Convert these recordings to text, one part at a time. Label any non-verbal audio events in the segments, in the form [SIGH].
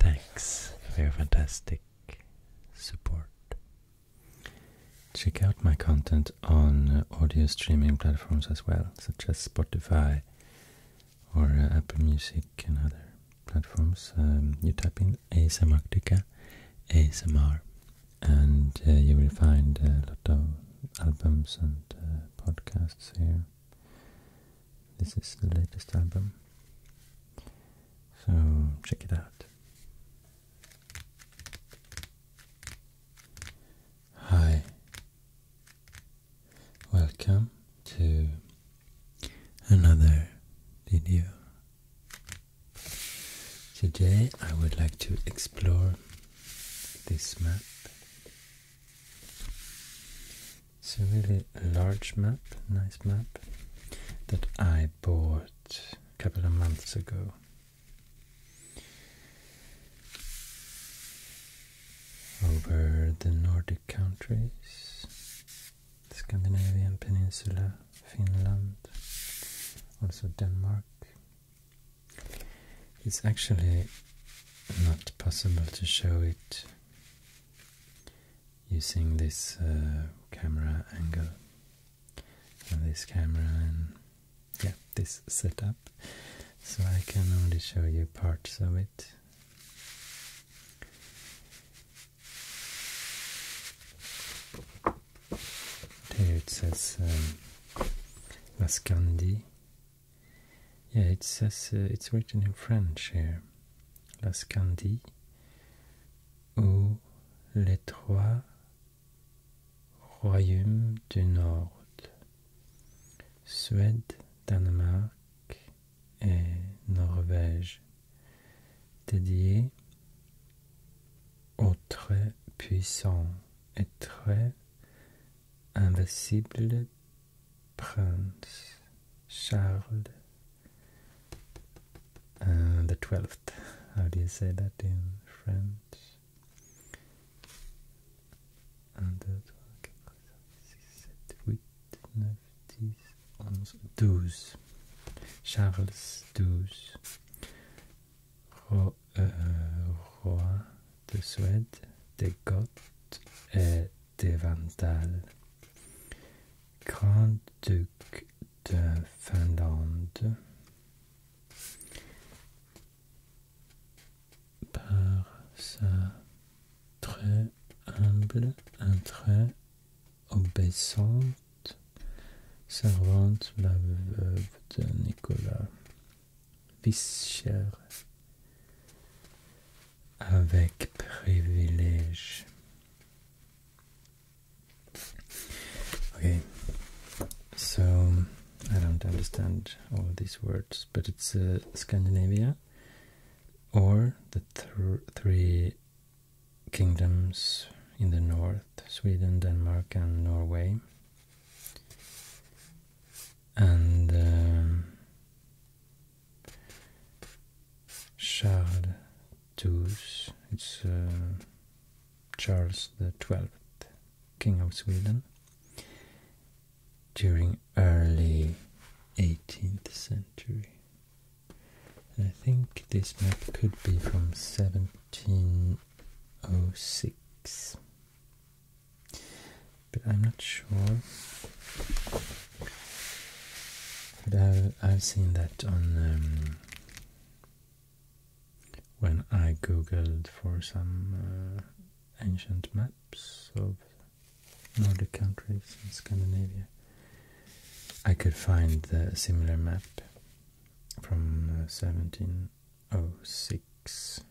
Thanks for fantastic support. Check out my content on uh, audio streaming platforms as well, such as Spotify or uh, Apple Music and other platforms. Um, you type in ASM ASMR, and uh, you will find a lot of albums and podcasts here. This is the latest album. So check it out. Hi. Welcome to another video. Today I would like to explore this map. It's a really large map, nice map, that I bought a couple of months ago. Over the Nordic countries, Scandinavian peninsula, Finland, also Denmark. It's actually not possible to show it using this uh, camera angle and this camera and yeah, this setup. So I can only show you parts of it. Here it says um, Lascandi. Yeah, it says uh, it's written in French here. Lascandi. ou les trois royaumes du Nord, Suède, Danemark et Norvège, dédiés au très puissant et très invisible prince Charles Uh, the 12th. How do you say that in French? And the 8, 9, 10, 11, 12. Charles XII, Ro euh, roi de Suède, des Goths et des Vandales, grand-duc de Finlande par sa très humble, un très obéissante servante, la veuve de Nicolas Vischer, avec privilège. Okay, so I don't understand all these words, but it's uh, Scandinavia or the three kingdoms in the north Sweden, Denmark, and Norway. And um, Charles Artus, it's uh, Charles the Twelfth, King of Sweden, during early 18th century. I think this map could be from 1706, but I'm not sure. But I, have seen that on um, when I googled for some uh, ancient maps of Nordic countries in Scandinavia. I could find a similar map from 1706. Uh,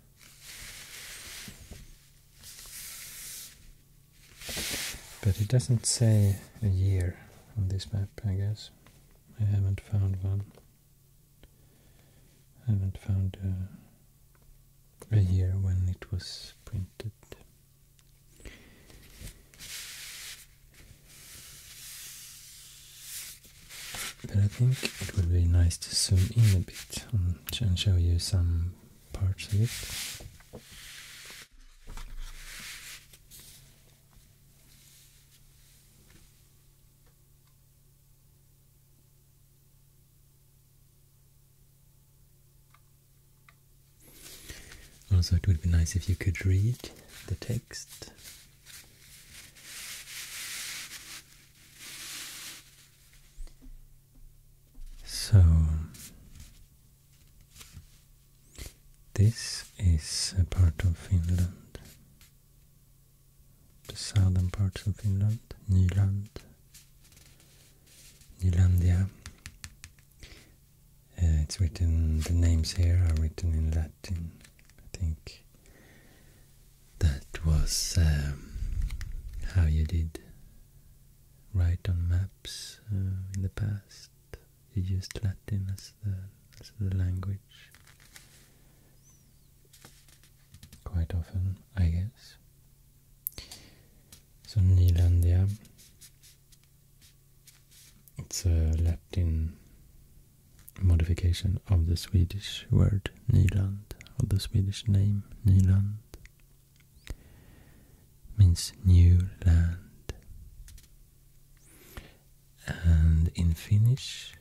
but it doesn't say a year on this map, I guess. I haven't found one. I haven't found uh, a year when it was printed. But I think it would be nice to zoom in a bit and show you some parts of it. Also, it would be nice if you could read the text. So, this is a part of Finland, the southern parts of Finland, Nyland, Nylandia. Uh, it's written, the names here are written in Latin. I think that was um, how you did write on maps uh, in the past. You used Latin as the, language quite often, I guess. So Nilandia, it's a Latin modification of the Swedish word Nyland, of the Swedish name Nyland, means new land. And in Finnish,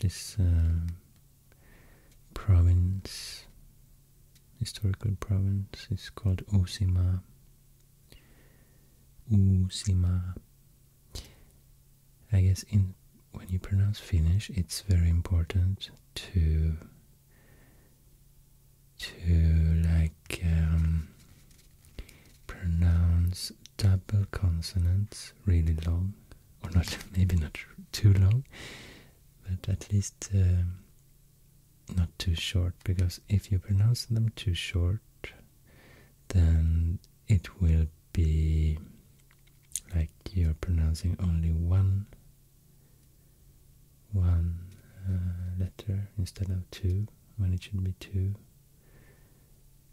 this um, province, historical province, is called Uusimaa. Uusimaa. I guess in when you pronounce Finnish, it's very important to to like um, pronounce double consonants really long, or not, [LAUGHS] maybe not too long, but at least uh, not too short, because if you pronounce them too short, then it will be like you're pronouncing only one one uh, letter instead of two when it should be two.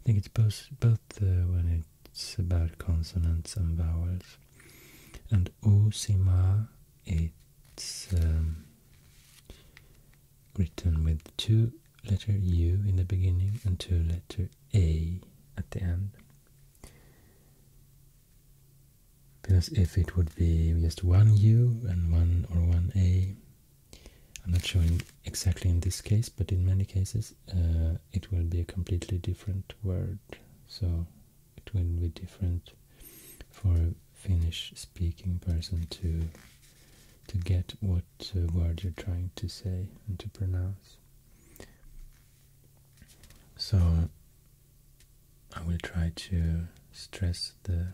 I think it's both when it's about consonants and vowels. And osima, it's um, written with two letter U in the beginning and two letter A at the end. Because if it would be just one U and one or one A, I'm not showing exactly in this case, but in many cases uh, it will be a completely different word. So it will be different for a Finnish-speaking person to to get what uh, word you're trying to say and to pronounce. So I will try to stress the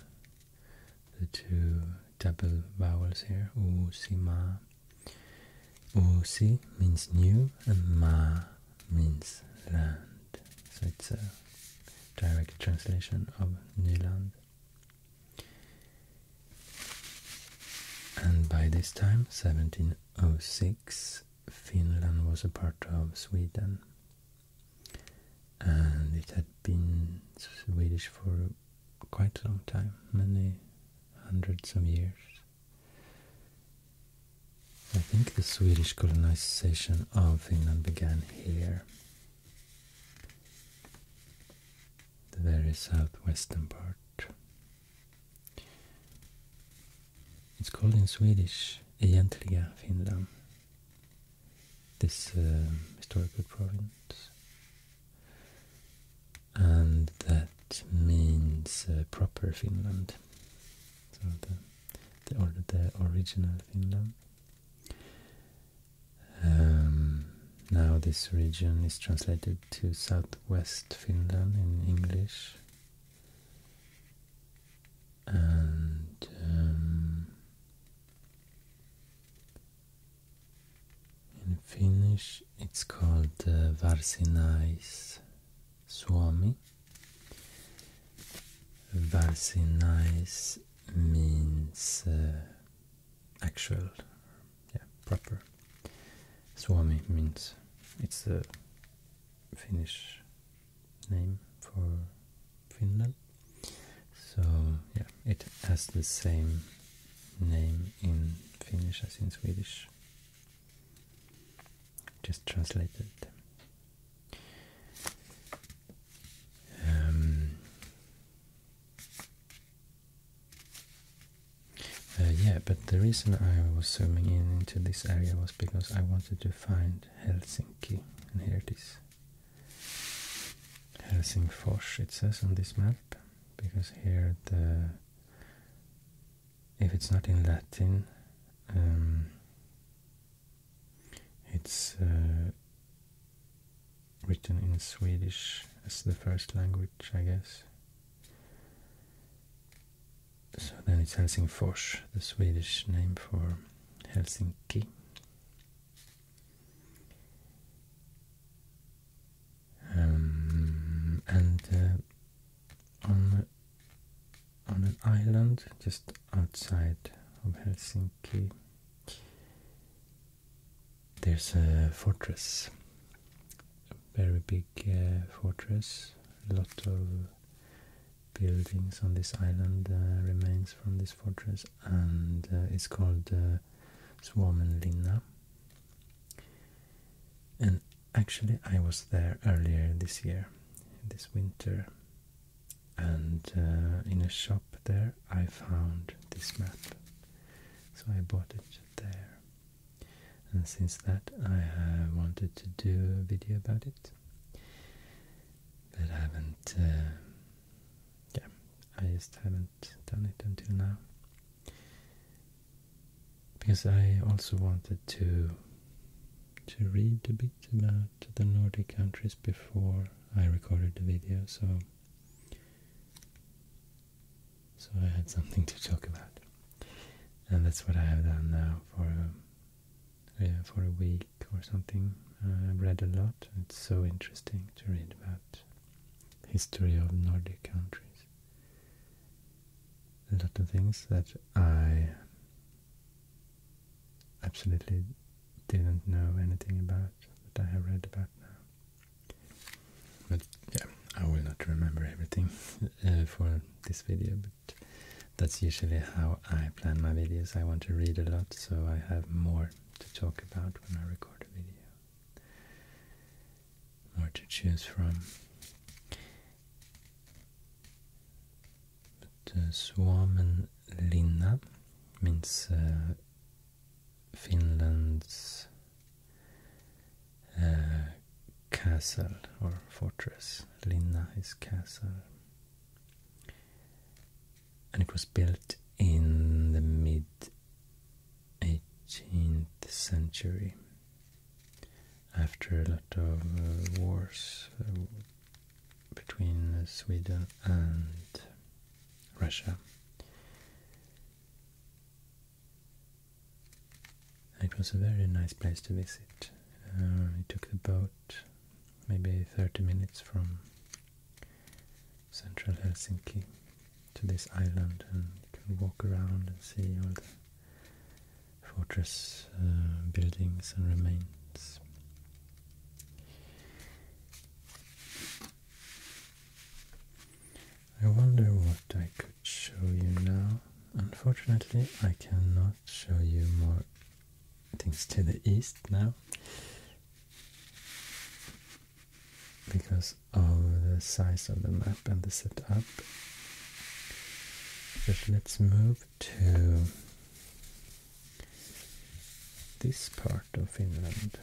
the two double vowels here, usima. Usi means new and ma means land. So it's a direct translation of Nyland. And by this time, 1706, Finland was a part of Sweden and it had been Swedish for quite a long time, many hundreds of years. I think the Swedish colonization of Finland began here, the very southwestern part. It's called in Swedish Egentliga Finland, this um, historical province, and that means uh, proper Finland, or the original Finland. Um, now this region is translated to Southwest Finland in English. And um, in Finnish, it's called uh, Varsinais Suomi. Varsinais means uh, actual, yeah, proper. Suomi means it's the Finnish name for Finland. So yeah, it has the same name in Finnish as in Swedish. Just translated. Um, uh, yeah, but the reason I was zooming in into this area was because I wanted to find Helsinki, and here it is. Helsingfors it says on this map because here the if it's not in Latin um, it's uh, written in Swedish as the first language I guess so then it's Helsingfors the Swedish name for Helsinki um, and uh, on on an island just outside of Helsinki, there's a fortress, a very big uh, fortress. A lot of buildings on this island uh, remains from this fortress, and it's called Suomenlinna. And actually, I was there earlier this year, this winter, and uh, in a shop there I found this map. So I bought it there. And since that, I wanted to do a video about it, but I haven't uh, yeah, I just haven't done it until now. Because I also wanted to to read a bit about the Nordic countries before I recorded the video, so so I had something to talk about, and that's what I have done now for a, yeah, for a week or something. I've read a lot; it's so interesting to read about history of Nordic countries. A lot of things that I absolutely didn't know anything about that I have read about now. But yeah, I will not remember everything [LAUGHS] uh, for this video, but that's usually how I plan my videos. I want to read a lot, so I have more to talk about when I record a video more to choose from. But uh, Suomen linna means Finland's uh, castle or fortress. Linna is castle and it was built in the mid 18th century after a lot of uh, wars uh, between Sweden and Russia. It was a very nice place to visit. Uh, it took the boat maybe 30 minutes from central Helsinki to this island and you can walk around and see all the fortress uh, buildings and remains. I wonder what I could show you now. Unfortunately, I cannot show you more things to the east now because of the size of the map and the setup. let's move to this part of Finland.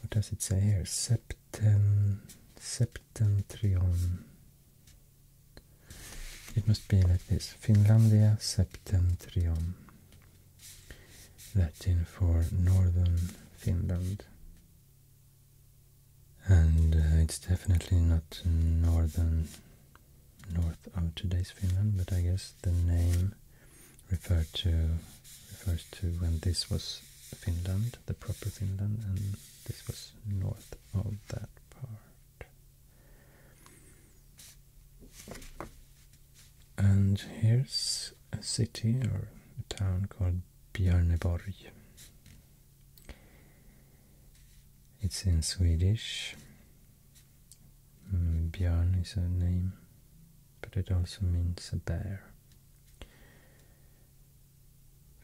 What does it say here? Septen, septentrion. It must be like this. Finlandia septentrion. Latin for northern Finland. And uh, it's definitely not northern, north of today's Finland, but I guess the name refers to when this was Finland, the proper Finland, and this was north of that part. And here's a city or a town called Bjarneborg. It's in Swedish. Mm, Bjarn is a name, but it also means a bear.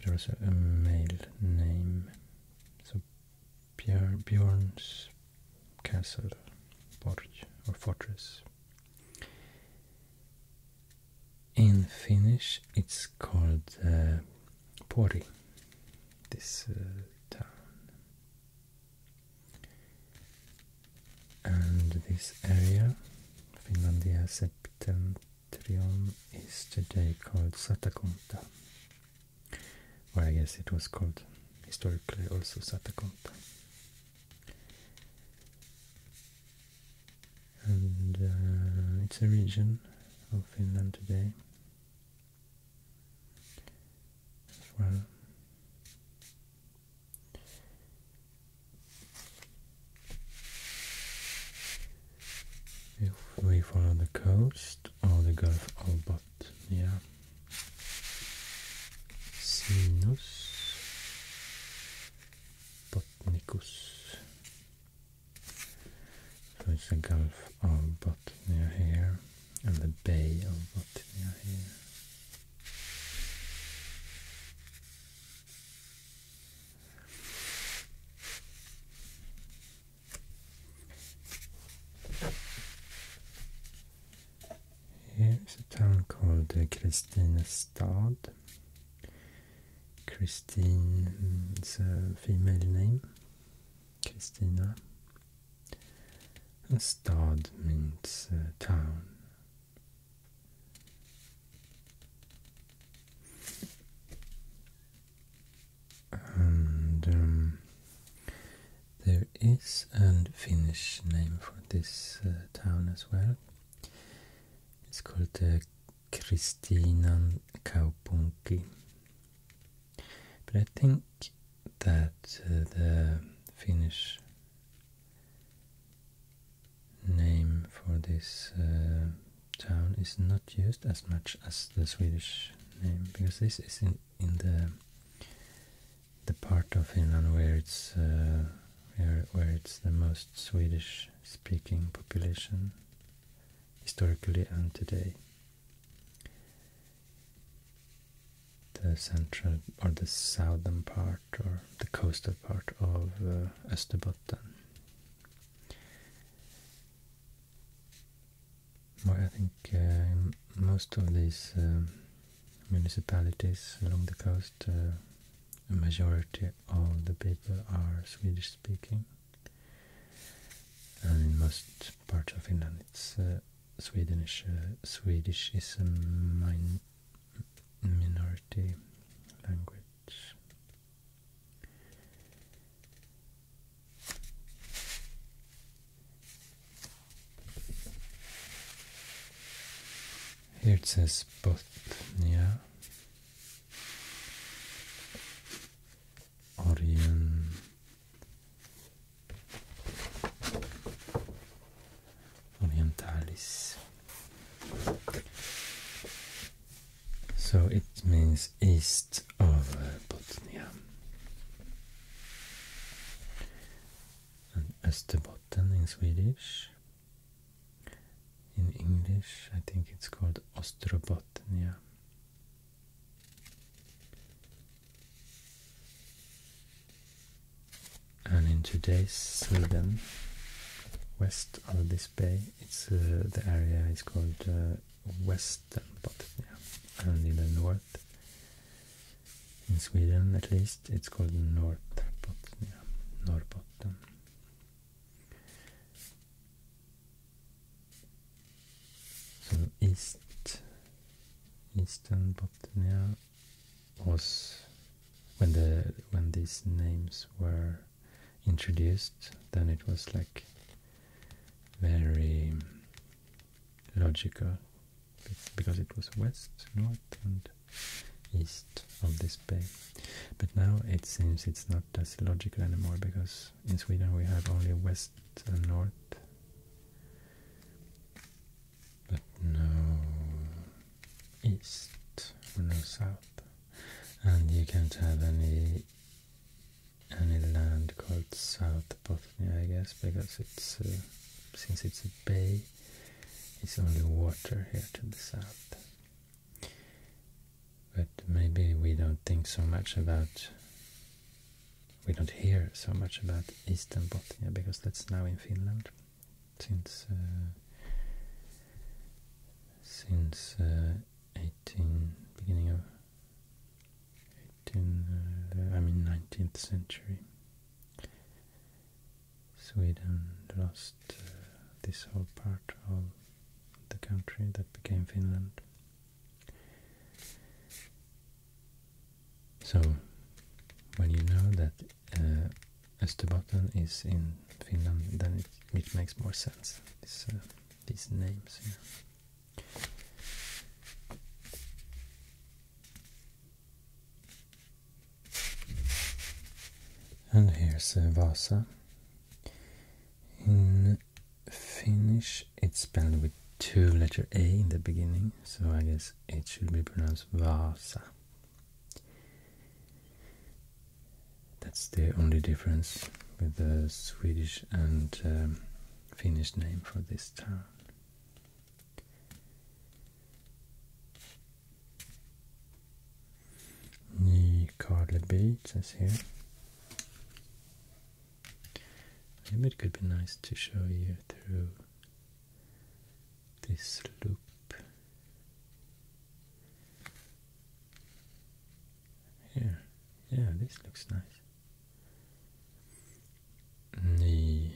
There's a male name, so Björ, Björn's castle, porch, or fortress. In Finnish, it's called uh, Pori, this uh, town. And this area, Finlandia Septentrion, is today called Satakunta, or I guess it was called historically also Satakunta and uh, it's a region of Finland today as well. If we follow the coast or the Gulf of Botnia. Yeah. Sinus Botnicus. So it's the Gulf of Botnia here and the Bay of Botnia here. Here's a town called uh, Stad. Christine mm, is a female name, Christina. stad means uh, town. And um, there is a Finnish name for this uh, town as well. It's called uh, Kristinan But I think that uh, the Finnish name for this uh, town is not used as much as the Swedish name because this is in, in the the part of Finland where it's uh, where, where it's the most Swedish-speaking population historically and today. The central or the southern part or the coastal part of uh, I think uh, most of these um, municipalities along the coast, uh, a majority of the people are Swedish-speaking. And in most parts of Finland, it's uh, Swedish. Uh, Swedish is a min minority language. Here it says both, yeah. Orientalis. So it means east of uh, Bosnia. And Österbotten cotton in Swedish. In English, I think it's called ostrobotnia. And in today's Sweden, west of this bay, it's uh, the area is called uh, Western Botnia, and in the north, in Sweden at least it's called Norrbotten. Norrbotten. So East Eastern Botnia was when the when these names were introduced then it was like very logical because it was west, north, and east of this bay. But now it seems it's not as logical anymore because in Sweden we have only west and north. But no east or no south. And you can't have any any land called South Bosnia, I guess, because it's uh, since it's a bay, it's only water here to the south. But maybe we don't think so much about, we don't hear so much about Eastern Bothnia because that's now in Finland since uh, since uh, 18 beginning of 18 uh, I mean 19th century Sweden lost uh, this whole part of the country that became Finland. So, when you know that uh, is in Finland, then it, makes more sense, uh, these names. And here's Vasa. In Finnish, it's spelled with two letter A in the beginning, so I guess it should be pronounced Vasa. That's the only difference with the Swedish and um, Finnish name for this town. Ny Carleby, it says here. Maybe it could be nice to show you through this loop here. Yeah, this looks nice. Ny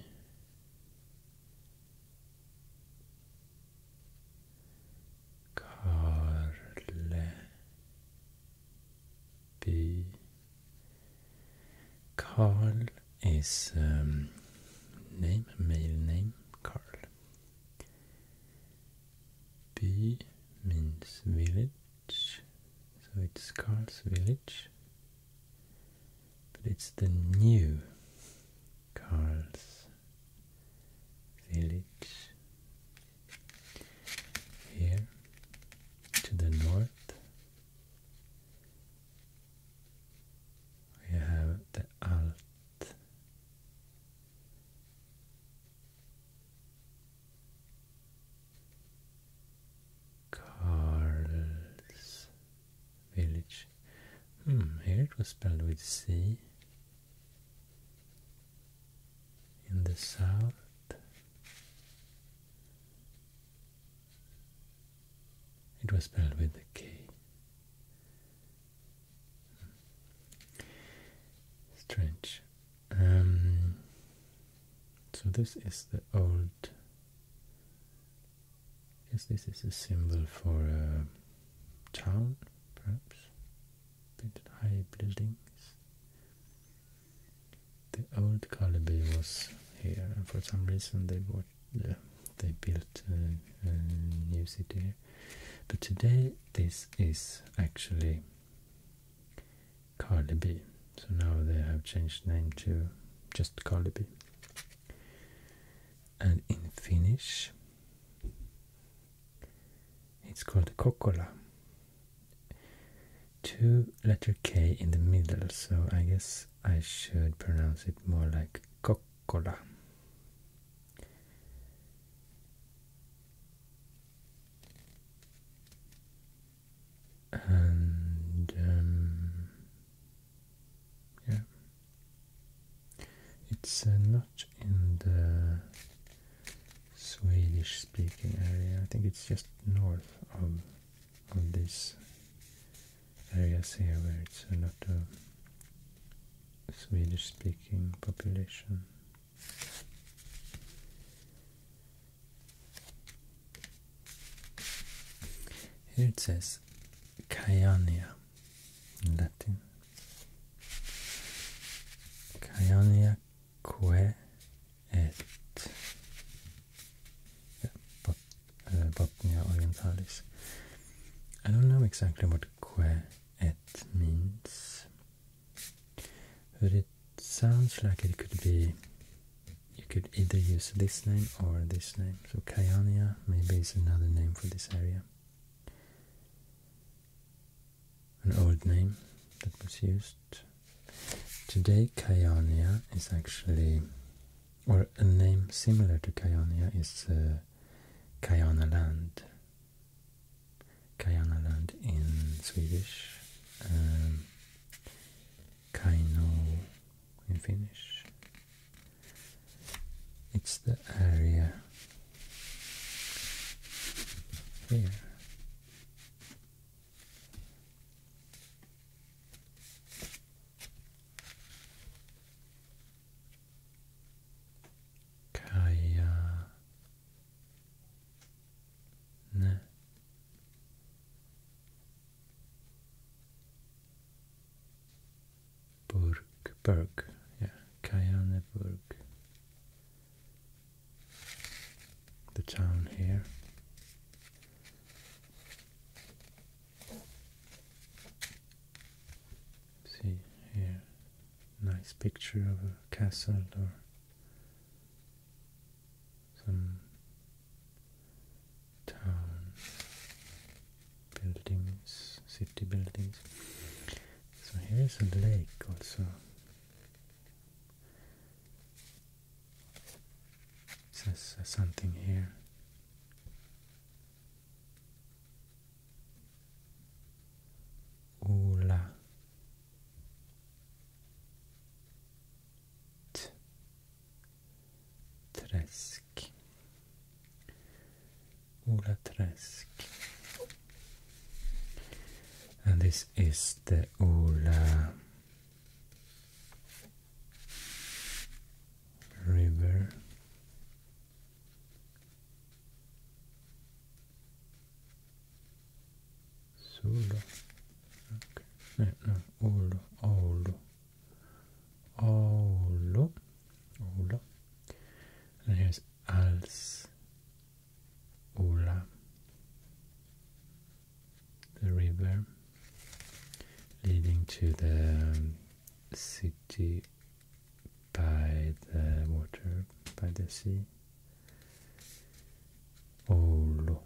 Karle B. Carl is um, name, male name, Carl. B means village, so it's Carl's village, but it's the new Carl's village here to the north we have the Alt Carl's village Hmm, here it was spelled with C. In the south. It was spelled with the K. Hmm. Strange. Um, so this is the old Yes, this is a symbol for a town, perhaps. high buildings. The old Karleby was here, and for some reason they bought, uh, they built a, new city here. But today this is actually Karleby. So now they have changed the name to just Karleby and in Finnish it's called Kokkola. Two letter K in the middle, so I guess I should pronounce it more like Kokkola. And um, yeah. It's uh, not in the Swedish speaking area. I think it's just north of of these areas here where it's a lot of Swedish speaking population. Here it says Kayania in Latin. Caioniaque et yeah, bot, uh, orientalis. I don't know exactly what que et means, but it sounds like it could be. You could either use this name or this name. So Kaionia maybe it's another name for this area an old name that was used. Today, Kayania is actually, or a name similar to Kayania is uh, Kayana land. Kayana land in Swedish, um, Kaino in Finnish, it's the area here. Kaya ne Burg, Berg, yeah, Kayaneburg. The town here. See here, nice picture of a castle or some town buildings, city buildings. So here is a lake also. It says uh, something here. Ola. Tres. Olaträsk. Olaträsk. And this is the Ola River. Solo. Okay. No, no, Olo, Olo. Olo. And here's als. The river leading to the city by the water, by the sea. Olo.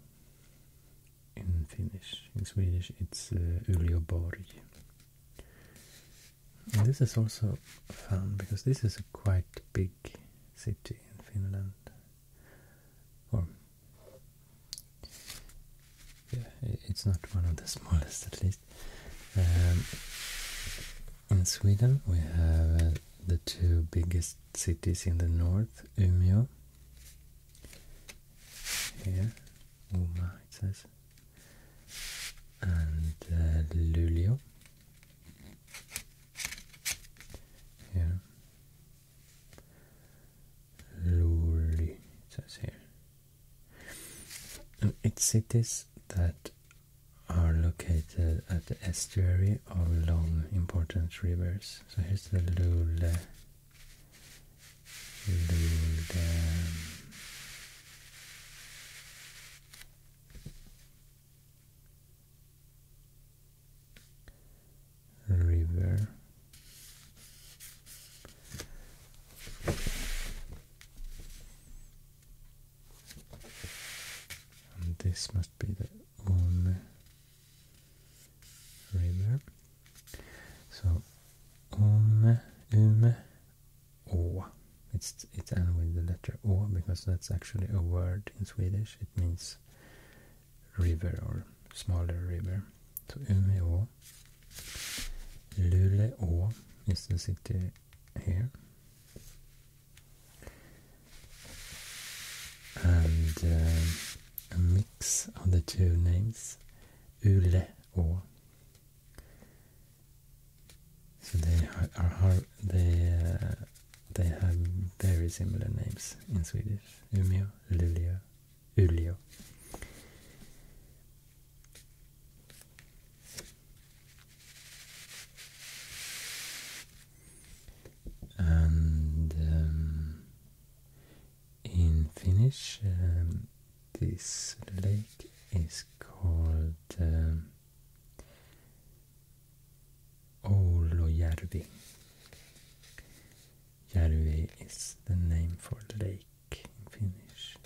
In Finnish. In Swedish it's uh, and this is also fun because this is a quite big city in Finland. Or yeah, it's not one of the [LAUGHS] smallest at least. Um, in Sweden we have uh, the two biggest cities in the north, Umeå here Uma it says, and uh, Lulio. Yeah. Luri, it says here. it's cities that are located at the estuary of long important rivers. So here's the Lule. Lule river and this must be the Ume river so Ume, Ume, O. It's it ends with the letter O because that's actually a word in Swedish. It means river or smaller river. So Umeå. Luleå is the city here. And uh, a mix of the two names. Uleå so they are they uh, they have very similar names in Swedish. Umeå, Luleå, Uliö, And um, in Finnish, um, this lake is called um, Oulojärvi. Järvi is the name for lake in Finnish.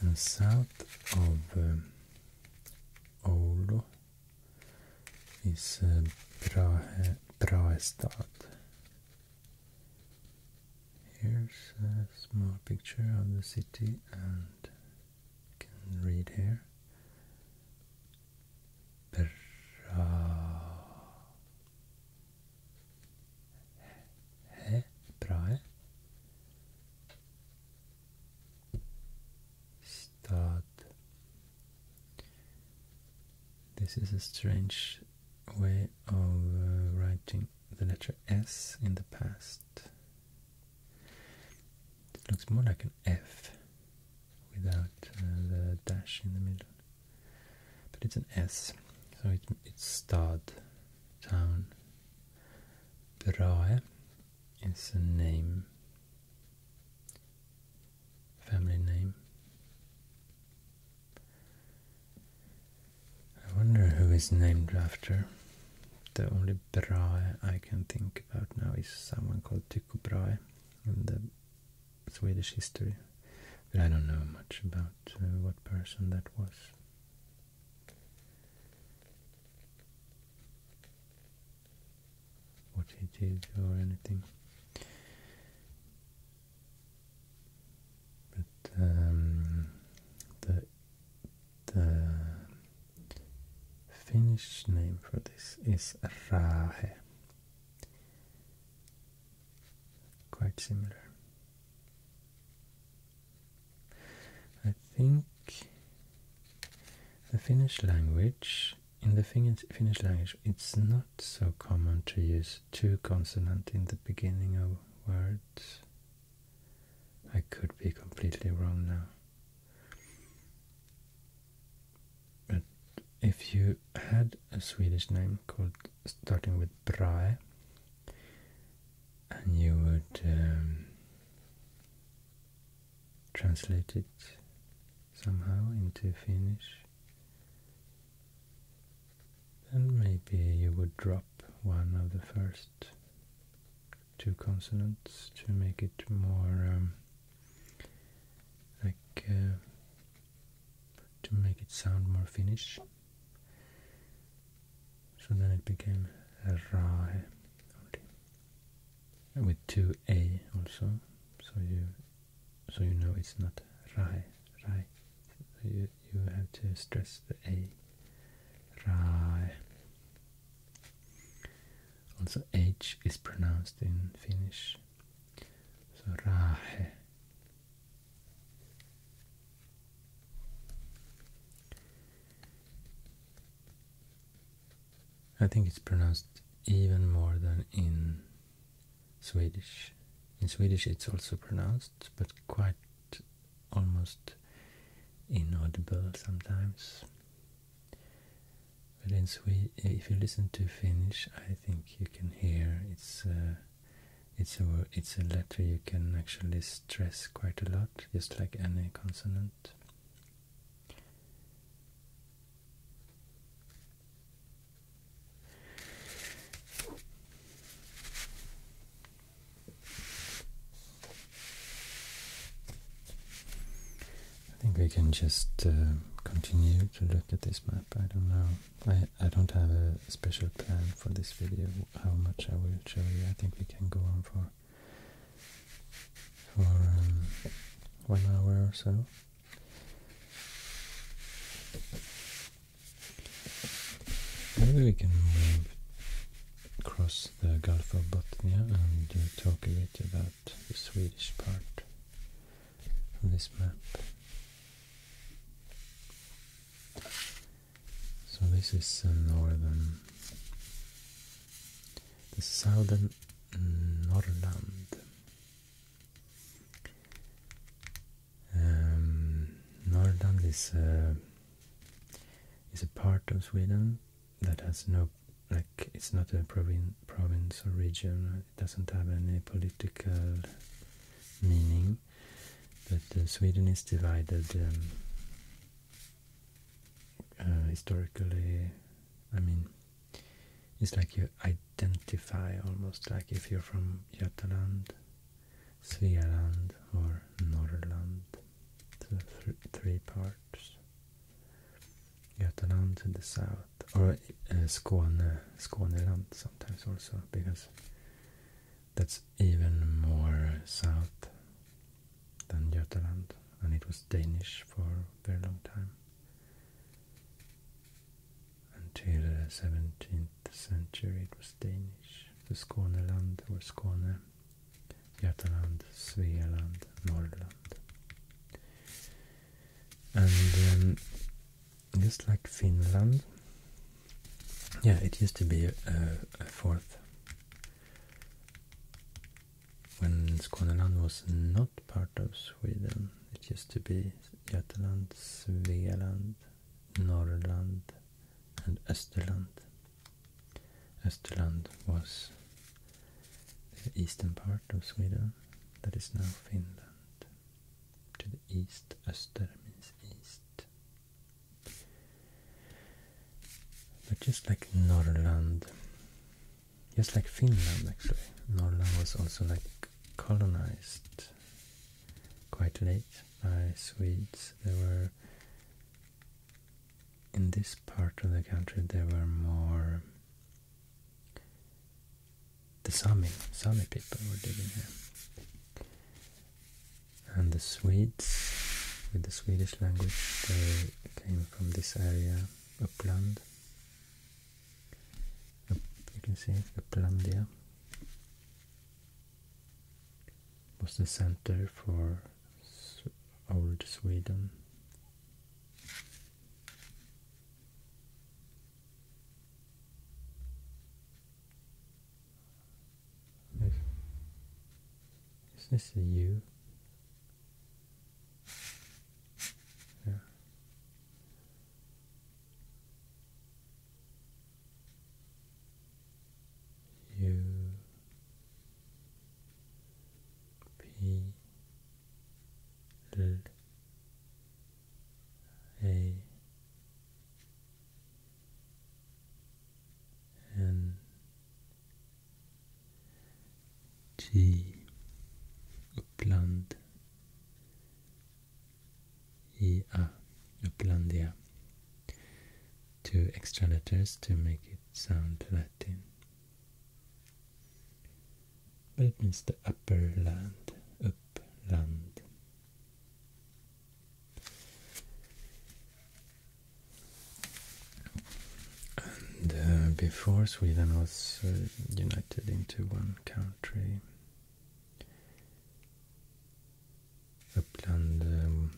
And south of um, is uh, Brahe, Brahestad. Here's a small picture of the city and you can read here. Brahe, Brahe, Stad. This is a strange way of uh, writing the letter S in the past. It looks more like an F without uh, the dash in the middle, but it's an S, so it's Stad, town. Brahe is a name family name. I wonder who is named after. The only Brahe I can think about now is someone called Tycho Brahe in the Swedish history, but I don't know much about uh, what person that was. What he or anything. But um, the the Finnish name for this is rahe. Quite similar. I think the Finnish language in the Finnish language it's not so common to use two consonant in the beginning of words. I could be completely wrong now. But if you had a Swedish name called starting with Brae, and you would um, translate it somehow into Finnish, and maybe you would drop one of the first two consonants to make it more um, like uh, to make it sound more Finnish. So then it became rahe with two a also. So you so you know it's not rai, rai. you, you have to stress the a, rai. Also h is pronounced in Finnish, so rahe. I think it's pronounced even more than in Swedish. In Swedish it's also pronounced, but quite almost inaudible sometimes. But in Swe if you listen to Finnish, I think you can hear it's a, uh, it's a it's a letter you can actually stress quite a lot, just like any consonant. I think we can just uh, continue to look at this map. I don't know. I, I don't have a special plan for this video, how much I will show you. I think we can go on for, for um, one hour or so. Maybe we can move across the Gulf of Bothnia and uh, talk a bit about the Swedish part of this map. So this is the uh, northern, the southern Norland. Um, Norrland is a, uh, is a part of Sweden that has no like it's not a provin province or region. It doesn't have any political meaning. But uh, Sweden is divided um, uh, historically. I mean, it's like you identify almost like if you're from Jutland Svealand or Norrland to three parts. Götaland to the south, or uh, Skåne, Skåneland sometimes also, because that's even more south than Götaland, and it was Danish for a very long time. Until the 17th century it was Danish. The Skåneland or Skåne, Götaland, Svealand, Norland, And um, just like Finland, yeah, it used to be a, fourth. When land was not part of Sweden, it used to be Götaland, Svealand, Norrland and Österland. Österland was the eastern part of Sweden that is now Finland. To the east, Öster means east. But just like Norrland, just like Finland actually, Norrland was also like colonized quite late by Swedes. There were in this part of the country there were more the Sami Sami people were living here, and the Swedes with the Swedish language they came from this area Uppland. you can see Upplandia was the center for old Sweden. Is this a U? Yeah. U P L A N G Uppland ia, ah, Upplandia. Two extra letters to make it sound Latin. But it means the upper land, upland. And uh, before Sweden was uh, united into one country, Upland,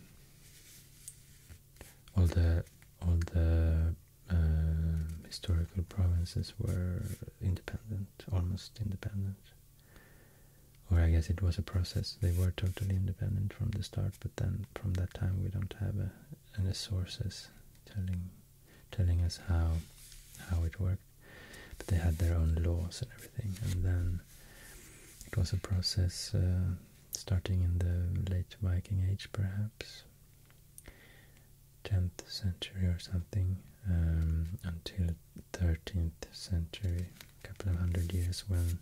all the all the uh, historical provinces were independent, almost independent. Or I guess it was a process. They were totally independent from the start, but then from that time we don't have any sources telling telling us how how it worked. But they had their own laws and everything. And then it was a process uh, starting in the late Viking Age, perhaps 10th century or something, um, until 13th century, a couple of hundred years when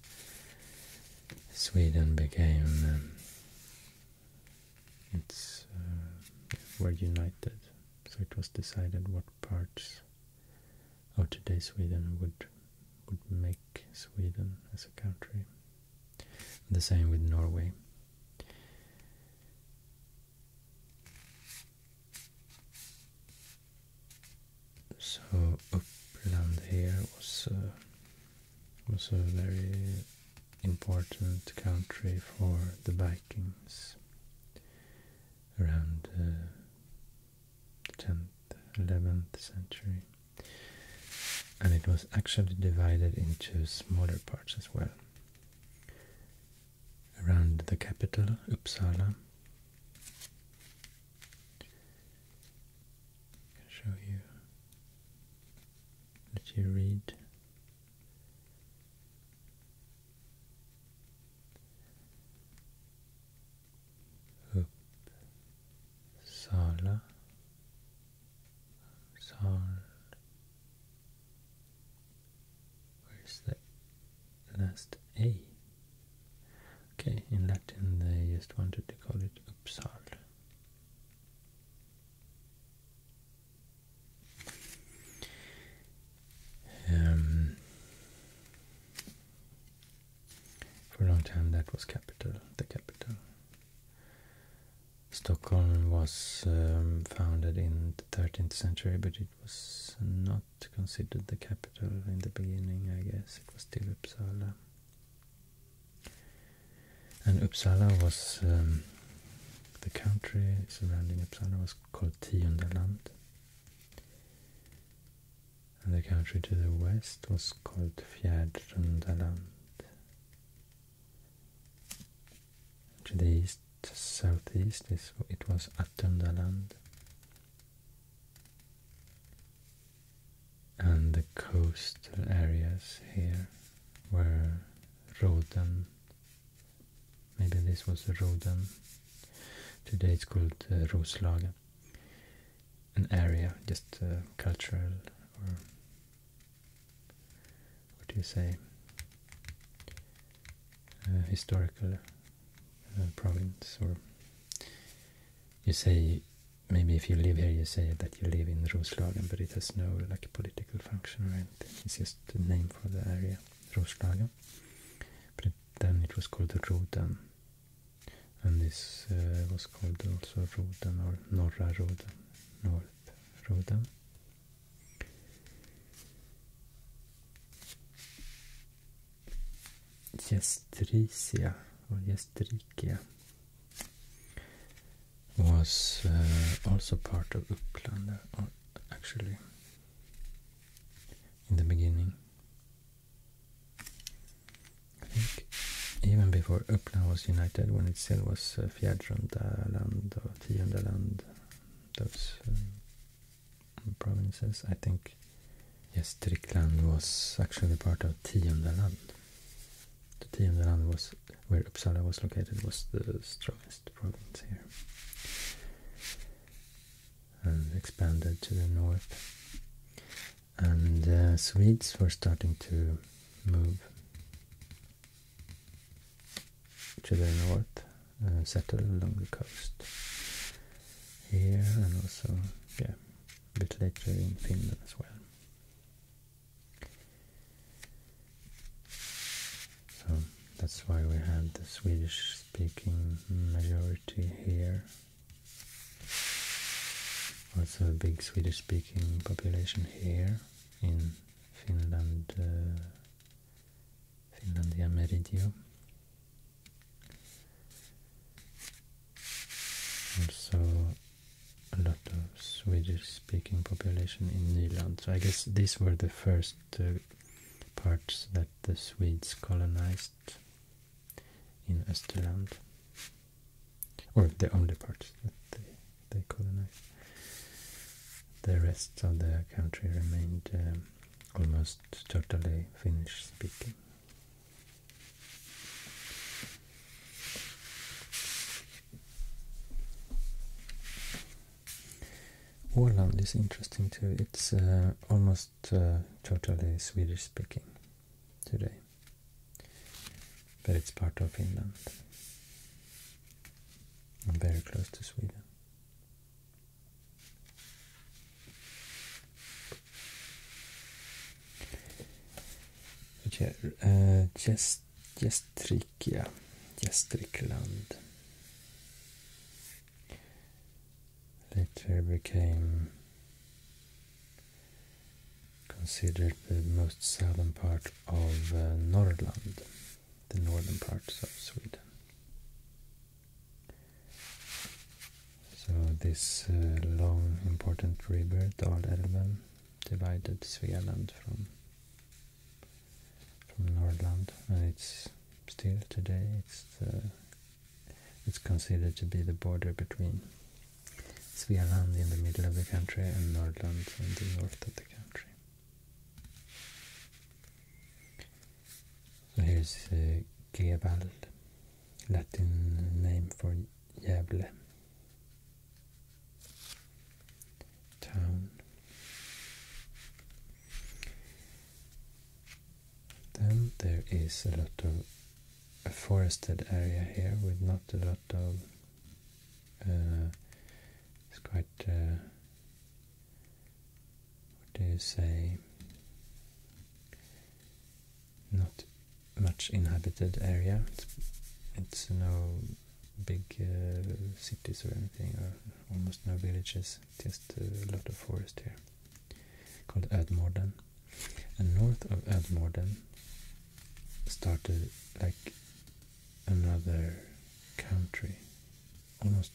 Sweden became. Um, it's uh, were united, so it was decided what parts of today Sweden would would make Sweden as a country. The same with Norway. So Uppland here was uh, was a very important country for the Vikings around uh, 10th, 11th century. And it was actually divided into smaller parts as well. Around the capital, Uppsala. I can show you, let you read Uppsala Sal Where's the last A? Okay, in Latin they just wanted to call it Uppsal. Um, for a long time that was capital, the capital. Stockholm was um, founded in the 13th century, but it was not considered the capital in the beginning, I guess. It was still Uppsala. And Uppsala was, um, the country surrounding Uppsala was called Tiundaland and the country to the west was called Fjärdrundaland. To the east, southeast, it was Attundalaland. And the coastal areas here were Roden. Maybe this was Roden. Today it's called uh, Roslagen an area, just uh, cultural or what do you say, uh, historical uh, province or you say maybe if you live here you say that you live in Roslagen but it has no like political function right? it's just a name for the area Roslagen but then it was called the Rodan and this uh, was called also Rodan or Norra Röda, North Röda. Gestrisia or Gestrikia was uh, also part of Uppland, or uh, actually in the beginning. I think even before Uppland was united, when it still was uh, or Tiondland, those um, provinces, I think Gästrikland was actually part of Tiondland. The Tiondland was where Uppsala was located was the strongest province here and expanded to the north. And uh, Swedes were starting to move to the north, and uh, settle along the coast here and also, yeah, a bit later in Finland as well. So that's why we have the Swedish speaking majority here also a big Swedish-speaking population here in Finland, uh, Finlandia Meridio. Also a lot of Swedish-speaking population in Nyland. So I guess these were the first uh, parts that the Swedes colonized in Österland, or the only part that they, colonized. The rest of the country remained um, almost totally Finnish speaking. Åland is interesting too. It's uh, almost uh, totally Swedish speaking today, but it's part of Finland and very close to Sweden. Uh, eh, just Gestrikia, Gestrikland later became considered the most southern part of uh, Norrland, the northern parts of Sweden. So this uh, long important river Dalälven divided Svealand from from Nordland and it's still today it's it's considered to be the border between Svealand in the middle of the country and Nordland in the north of the country. So here's uh, Gevald, Latin name for Gävle town. Then there is a lot of a forested area here with not a lot of. Uh, it's quite. Uh, what do you say? Not much inhabited area. It's, no big uh, cities or anything, or almost no villages. Just a lot of forest here called Edmorden. And north of Edmorden started like another country. Almost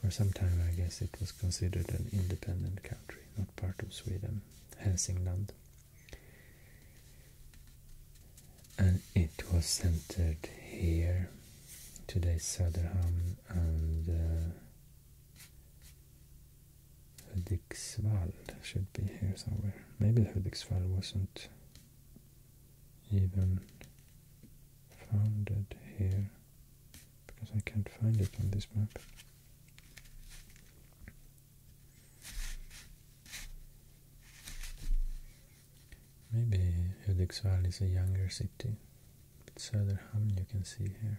for some time, I guess it was considered an independent country, not part of Sweden, Helsingland, And it was centered here, today Söderhamn and uh, Hudiksvall should be here somewhere. Maybe the Hudiksvall wasn't even founded here because I can't find it on this map. Maybe Hudiksvall is a younger city. But Söderhamn you can see here.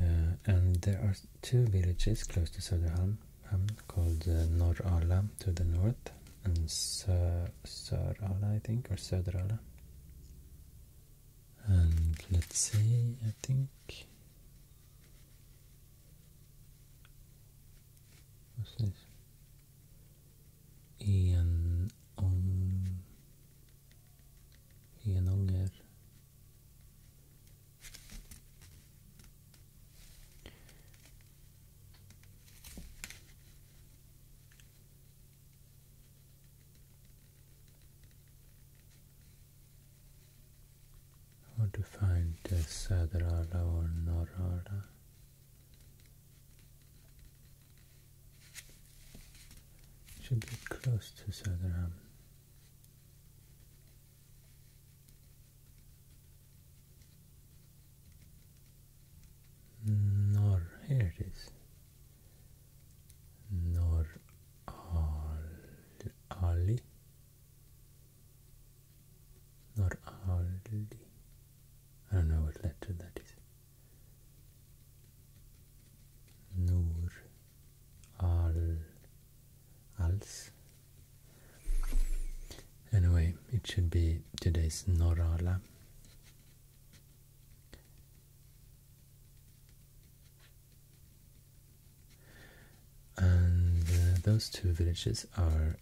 Uh, and there are two villages close to Söderhamn um, called uh, Norala to the north and Sör Sörala, I think, or Söderala. And let's see, I think. What's this? Ian Ong. Ian Onger. How to find the Sadrala or Norala? Should be close to Sadrala. Nor, here it is. Nor al Ali. Nor Ali. I don't know what letter that is. Nur al als. Anyway, it should be today's Norralla, And uh, those two villages are,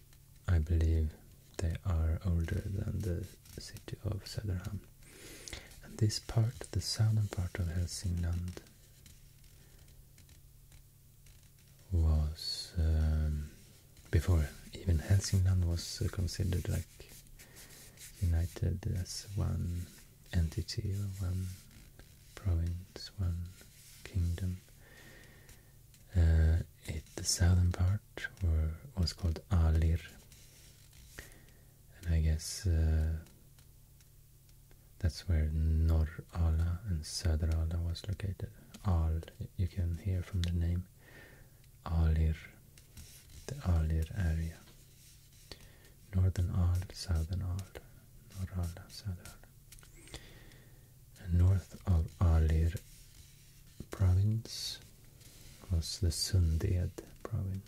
I believe, they are older than the city of Söderhamn. And this part, the southern part of Helsingland, was um, before even Helsingland was uh, considered like united as one entity one province, one kingdom. Uh, it, the southern part were, was called Alir, and I guess uh, that's where Nor Norrala and Söderala was located. Al, you can hear from the name, Alir, the Alir area. Northern Al, Southern Al, Norrala, Söderala. And north of Alir province was the Sunded province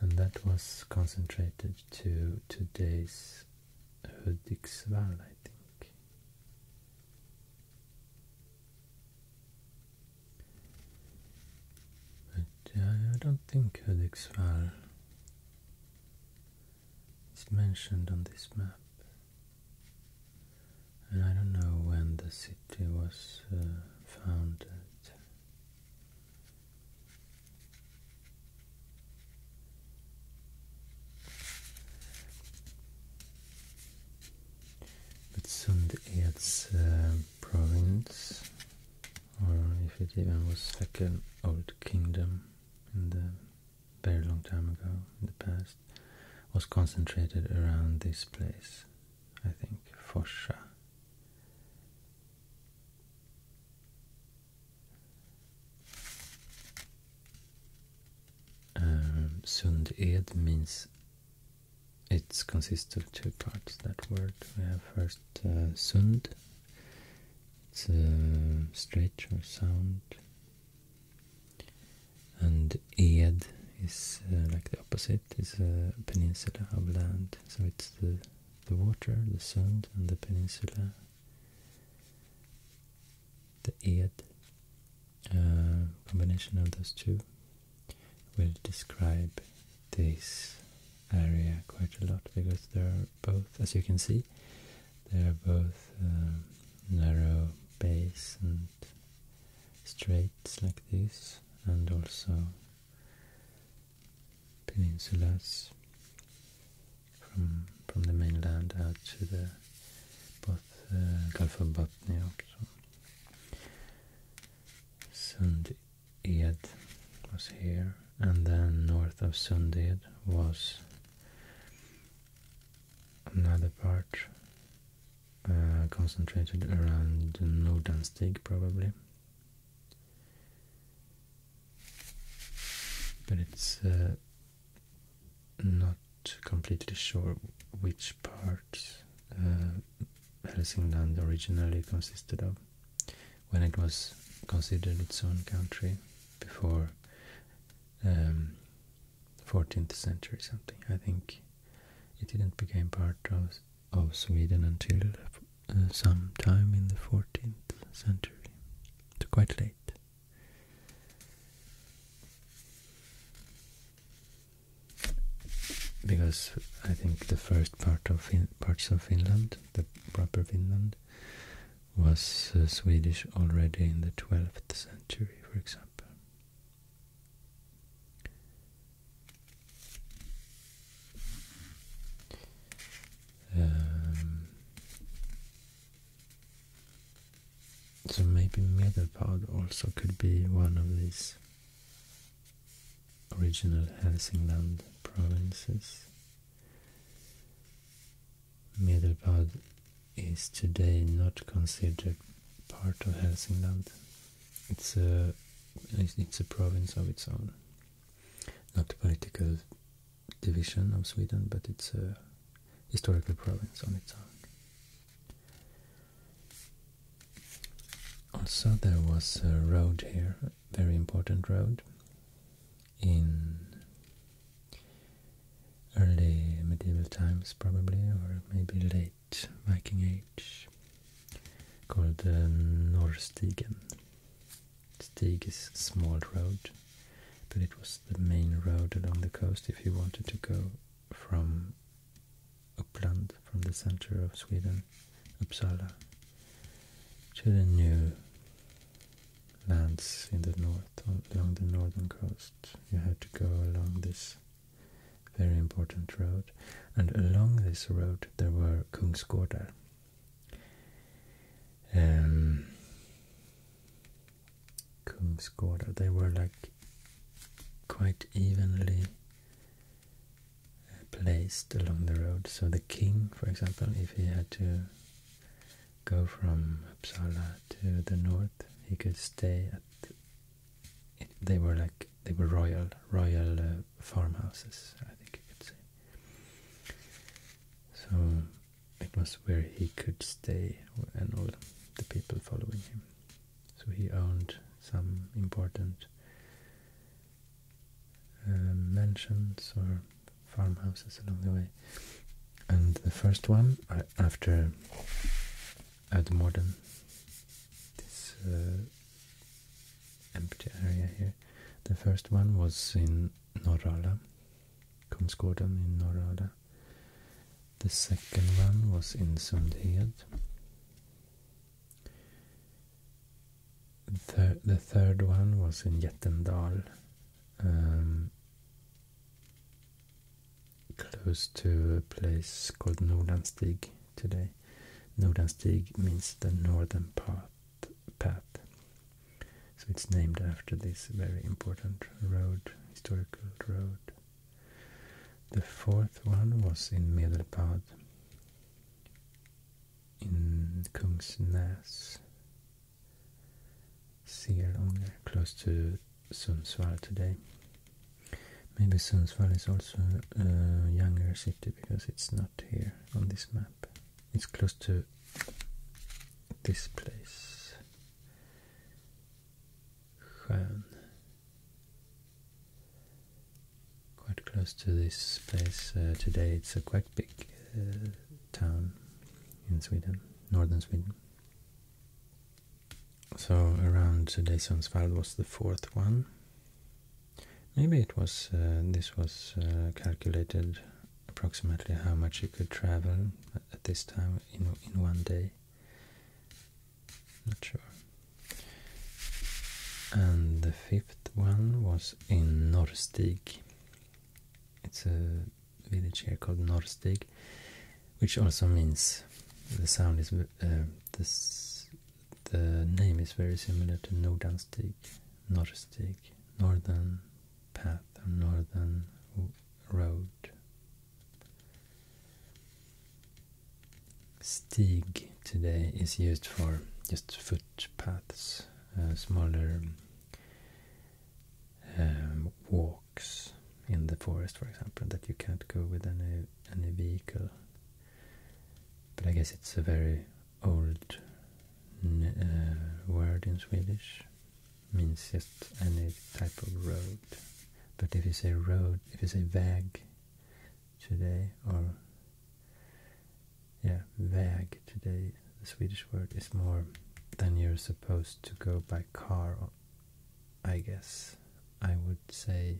and that was concentrated to today's Hudiksvall, I think. But uh, I don't think Hudiksvall is mentioned on this map. And I don't know when the city was uh, founded. But Sundets its uh, province, or if it even was second old kingdom in the very long time ago in the past, was concentrated around this place, I think, Forsa. Um, means it consists of two parts. That word first uh, Sund, it's a uh, stretch or sound, and Ed is uh, like the opposite, it's a peninsula of land, so it's the the water, the sand and the peninsula, the Eid, uh, combination of those two will describe this area quite a lot because they're both, as you can see, they're both um, narrow bays and straights like this and also peninsulas from from the mainland out to the uh, Gulf of Botnia också. Sunded was here, and then north of Sunded was another part uh, concentrated around Nordanstig probably but it's uh, not completely sure which part uh, Helsingland originally consisted of when it was considered its own country before 14th um, century something. I think it didn't become part of, of Sweden until uh, sometime in the 14th century. to quite late. Because I think the first part of parts of Finland, the proper Finland, was uh, Swedish already in the 12th century, for example. Um, so maybe Medapod also could be one of these original Helsingland provinces. Medelpad is today not considered part of Helsingland. It's a it's a province of its own, not political division of Sweden, but it's a historical province on its own. Also, there was a road here, very important road in early medieval times, probably, or maybe late Viking Age, called uh, Norrstigen. Stig is a small road, but it was the main road along the coast if you wanted to go from Uppland, from the center of Sweden, Uppsala, to the new lands in the north, along the northern coast. You had to go along this very important road, and along this road there were Kungsgårdar, um, They were like quite evenly uh, placed along the road. So the king, for example, if he had to go from Uppsala to the north, he could stay at. they were like they were royal, royal uh, farmhouses. I think you could say. So it was where he could stay and all the people following him. So he owned some important uh, mansions or farmhouses along the way. And the first one, uh, after Admorden, this uh, empty area here, the first one was in Norrala the second one was in Sundhed. the third one was in Jättendal, um, close to a place called Nordanstig today. Nordanstig means the northern part path. So it's named after this very important road, historical road. The fourth one was in Medelpad, in Kungsnäs, Seerånger, close to Sundsvall today. Maybe Sundsvall is also a younger city because it's not here on this map. It's close to this place. Stjärn. Quite close to this place uh, today. It's a quite big uh, town in Sweden, northern Sweden. So around today's Sundsvall was the fourth one. Maybe it was uh, this was calculated approximately how much you could travel at this time in, in one day. Not sure. And the fifth one was in Norrstig. It's a village here called Norrstig, which also means the sound is uh, this. The name is very similar to Nordanstig, Norrstig, Northern path or northern road. Stig today is used for just footpaths, uh, smaller um, walks in the forest, for example, that you can't go with any any vehicle. But I guess it's a very old uh, word in Swedish means just any type of road. But if you say road, if you say väg today, or yeah, väg today, the Swedish word is more than you're supposed to go by car, I guess. I would say,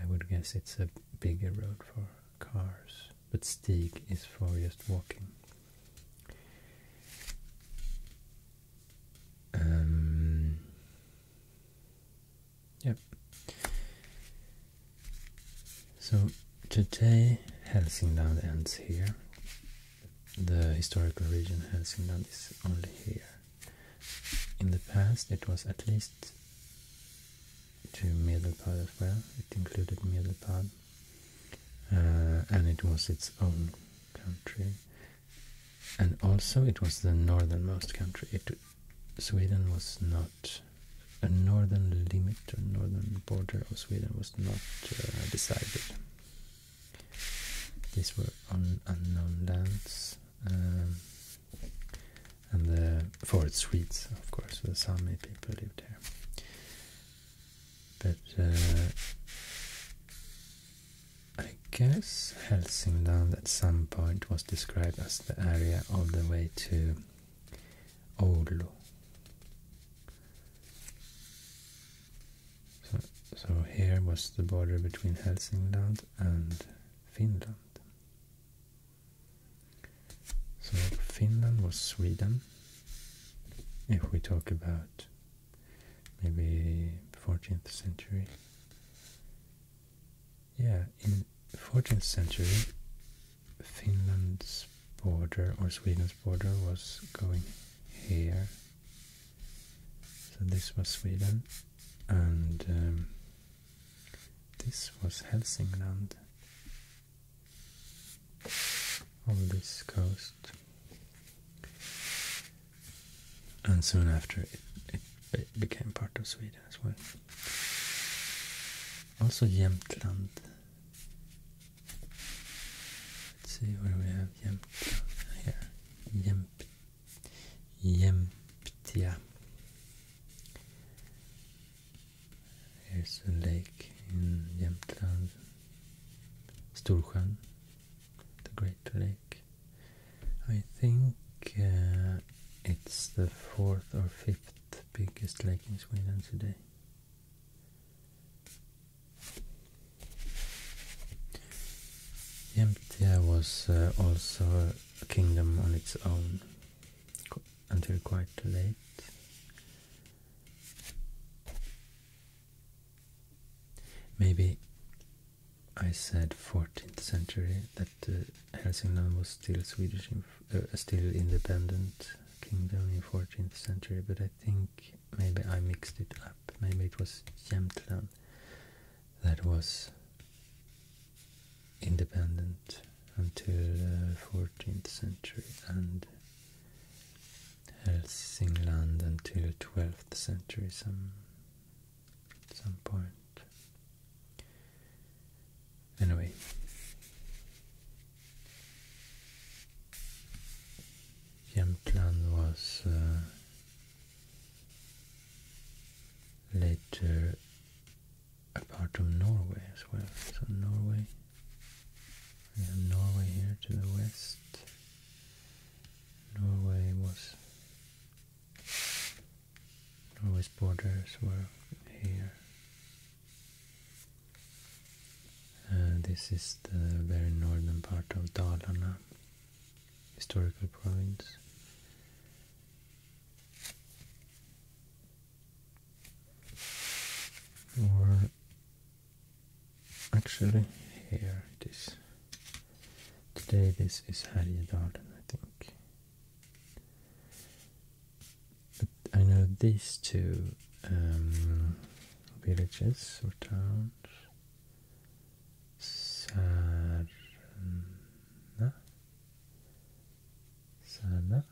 I would guess it's a bigger road for cars but Stig is furthest walking. Um, yep. So today Helsingland ends here. The historical region Helsingland is only here. In the past it was at least to Medelpad as well. It included Medelpad uh, and it was its own country. And also, it was the northernmost country. Sweden was not a northern limit or northern border of Sweden was not uh, decided. These were unknown lands, um, and the for its Swedes, of course, the Sami people lived there but uh, I guess Helsingland at some point was described as the area all the way to Oulu. So, so here was the border between Helsingland and Finland. So Finland was Sweden. If we talk about maybe 14th century. Yeah, in 14th century Finland's border or Sweden's border was going here. So this was Sweden and um, this was Helsingland on this coast. And soon after, it, became part of Sweden as well. Also Jämtland. Let's see where we have Jämtland here. Jämt, Jämtia. There's a lake in Jämtland, Storsjön, the Great Lake. I think uh, it's the fourth or fifth biggest lake in Sweden today. Jämtia was uh, also a kingdom on its own until quite late Maybe I said 14th century that uh, Helsingland was still Swedish, uh, still independent kingdom in 14th century, but I think maybe I mixed it up. Maybe it was Jämtland that was independent until uh, 14th century and Helsingland until 12th century some some point. Anyway. Jämtland was uh, later a part of Norway as well. So Norway we have Norway here to the west. Norway was Norway's borders were here. Uh, this is the very northern part of Dalarna, historical province. Or Actually, here it is. Today this is Härjedalen, I think. But I know these two um, villages or towns. Sarna. Sarna.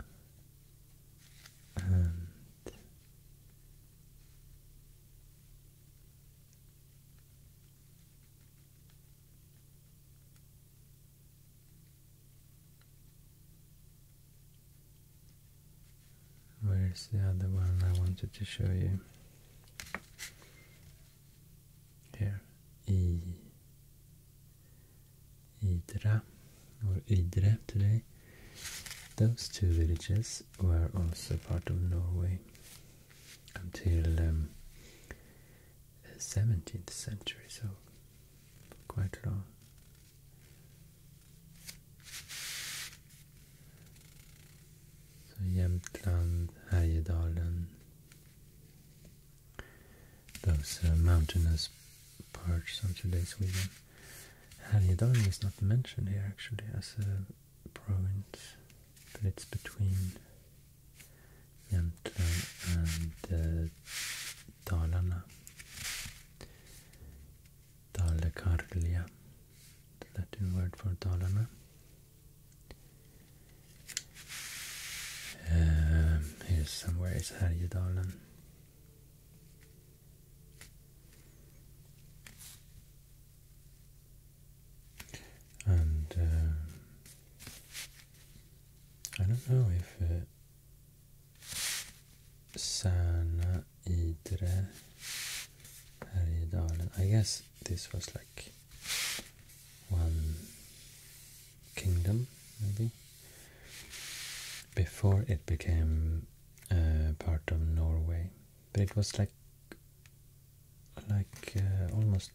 Where's the other one I wanted to show you? Here, Idra or Idre today. Those two villages were also part of Norway until um, the 17th century, so quite long. Så Jämtland, Härjedalen, those uh, mountainous parts of today's Sweden. Härjedalen is not mentioned here actually as a province, but it's between Jämtland and uh, Dalarna. Dalekarlia, the Latin word for Dalarna. Um, somewhere is Härjedalen. And um, I don't know if it uh, Särna, I guess this was like one kingdom, maybe, before it became uh, part of Norway, but it was like like uh, almost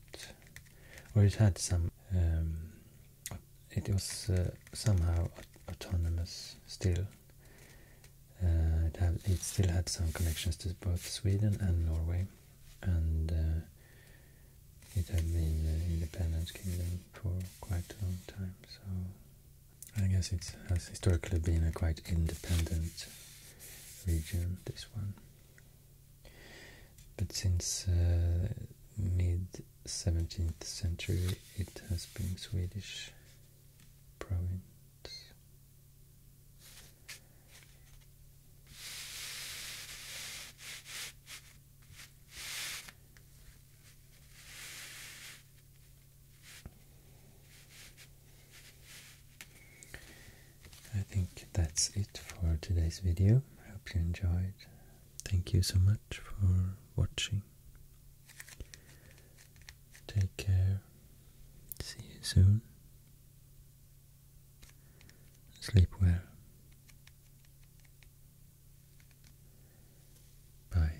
or it had some um, it was uh, somehow autonomous still. it, still had some connections to both Sweden and Norway, and it had been an independent kingdom for quite a long time. So I guess it has historically been a quite independent region, this one. But since uh, mid 17th century, it has been Swedish province. I think that's it for today's video. I hope you enjoyed. Thank you so much for watching. Take care. See you soon. Sleep well. Bye.